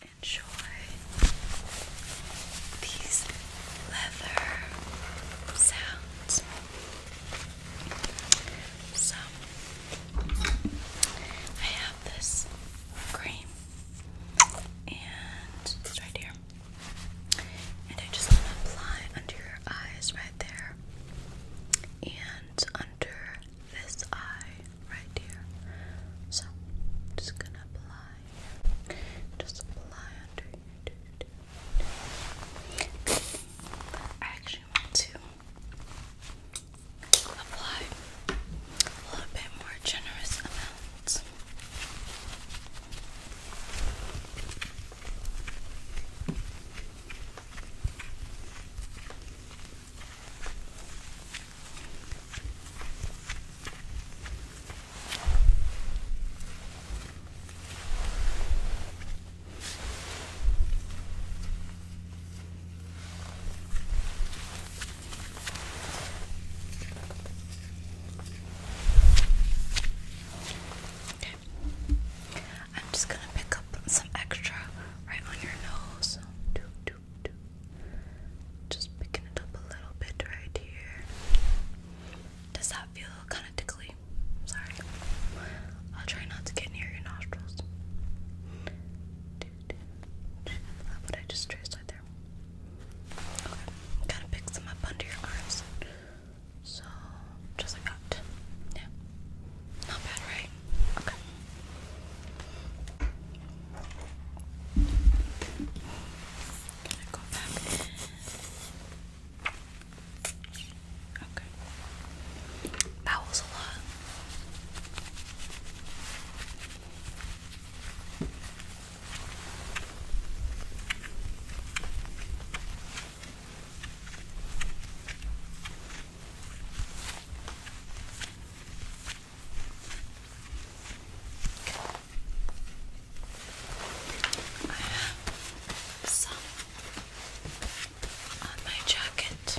Enjoy these leather sounds. So, I have this cream, and it's right here. And I just want to apply under your eyes right there and under this eye right here. So, just gonna apply, just apply under here. I actually want to apply a little bit more generous amounts. I'm just gonna pick up some extra right on your nose. Just picking it up a little bit right here. Does that feel kind of tickly? Sorry. I'll try not to get near your nostrils. Do, do, I just traced right there. Okay. Kind of picks them up under your arms. So, just like that. Yeah. Not bad, right? Okay. i Okay. That was a lot. I have some on my jacket.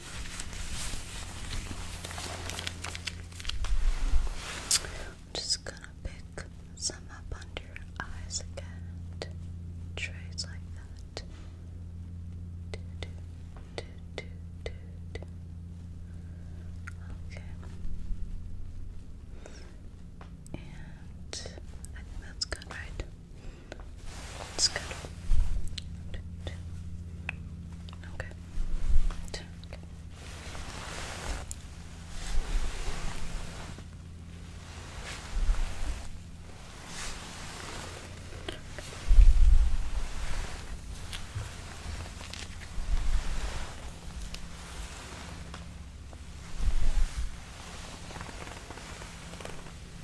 I'm just gonna pick some up under your eyes again. Trace like that. Okay. And I think that's good, right? That's good. Okay. Okay.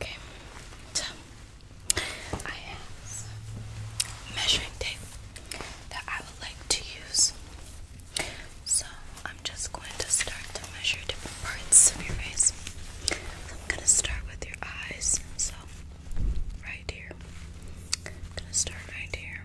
Okay, I have measuring tape that I would like to use. So I'm just going to start to measure different parts of your face. I'm going to start with your eyes. So right here. I'm going to start right here.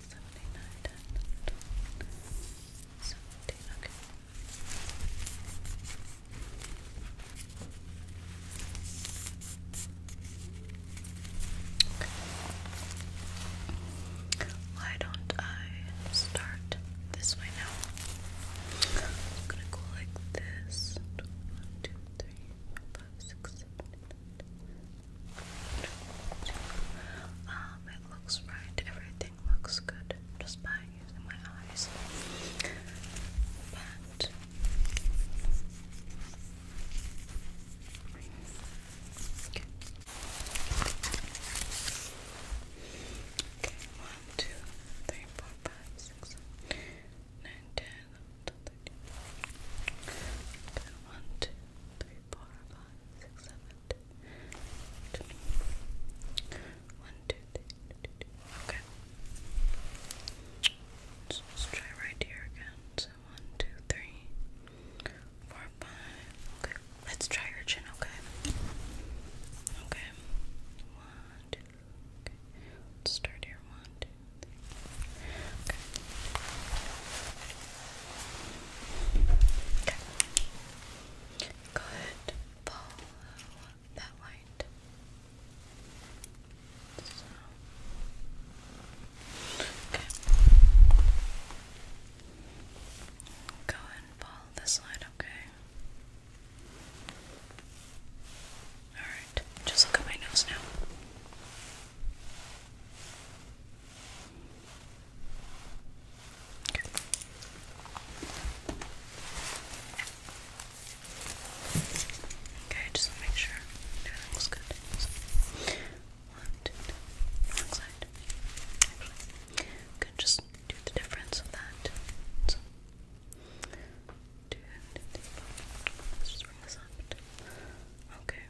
seventy-nine and Why don't I start this way now? I'm gonna go like this. One, two, three, four, five, six, seven, eight, nine, um, it looks right, everything looks good just by using my eyes. But okay. Okay, one, two, three, four, five, six, seven, nine, ten, 11, 12, 13, 14, three, four, five, six, seven, two, two. One, two, three, two, two. Okay. let's try right here again. So one, two, three, four, five. Okay. Let's try your chin, okay? Okay. One, two, okay. Let's start here. One, two, three. Okay. Okay. Go ahead, follow that light. Go and follow this light, okay? Alright, just look at my nose now. Okay, just make sure everything good. So, Wrong side. Actually, Just do the difference of that. three, four. Let's just bring this up. Okay.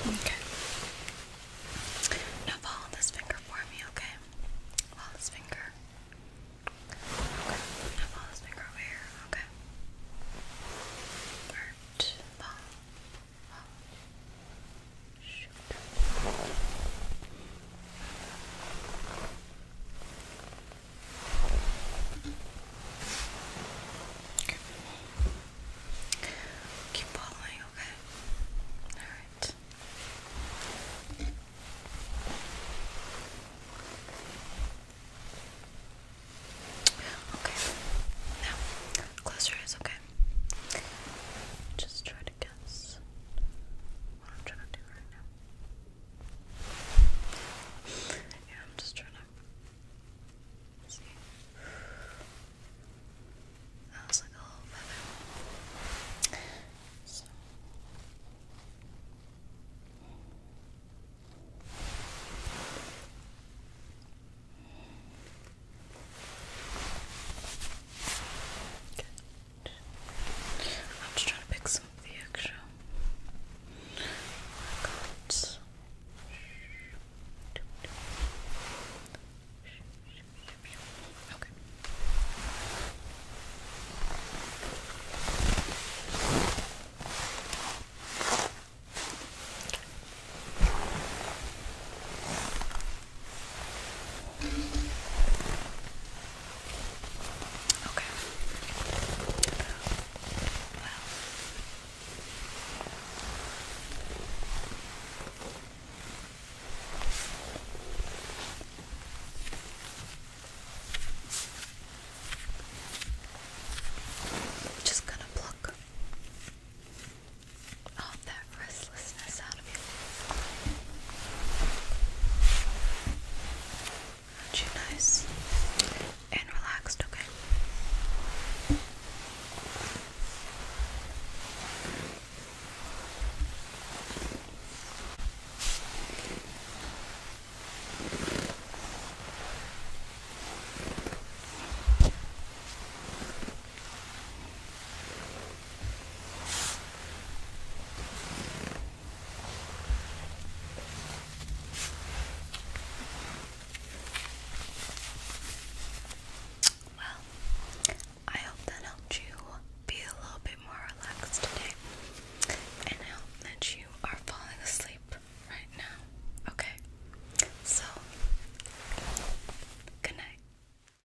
Okay. Now follow this finger for me, okay? Follow this finger. Okay. Now follow this finger over here, okay? Alright. Follow. Follow. Shoot. Keep following, okay? Alright. Okay. Now, close your okay? Just try to guess what I'm trying to do right now. Yeah, I'm just trying to see. That was like a little feather. So. I'm just trying to pick some of the extra. I Okay. Okay. Just gonna pluck all that restless business out of you. nice and relaxed, Okay. Well, I hope that helped you be a little bit more relaxed today. And I that you are falling asleep right now. Okay? So, good night.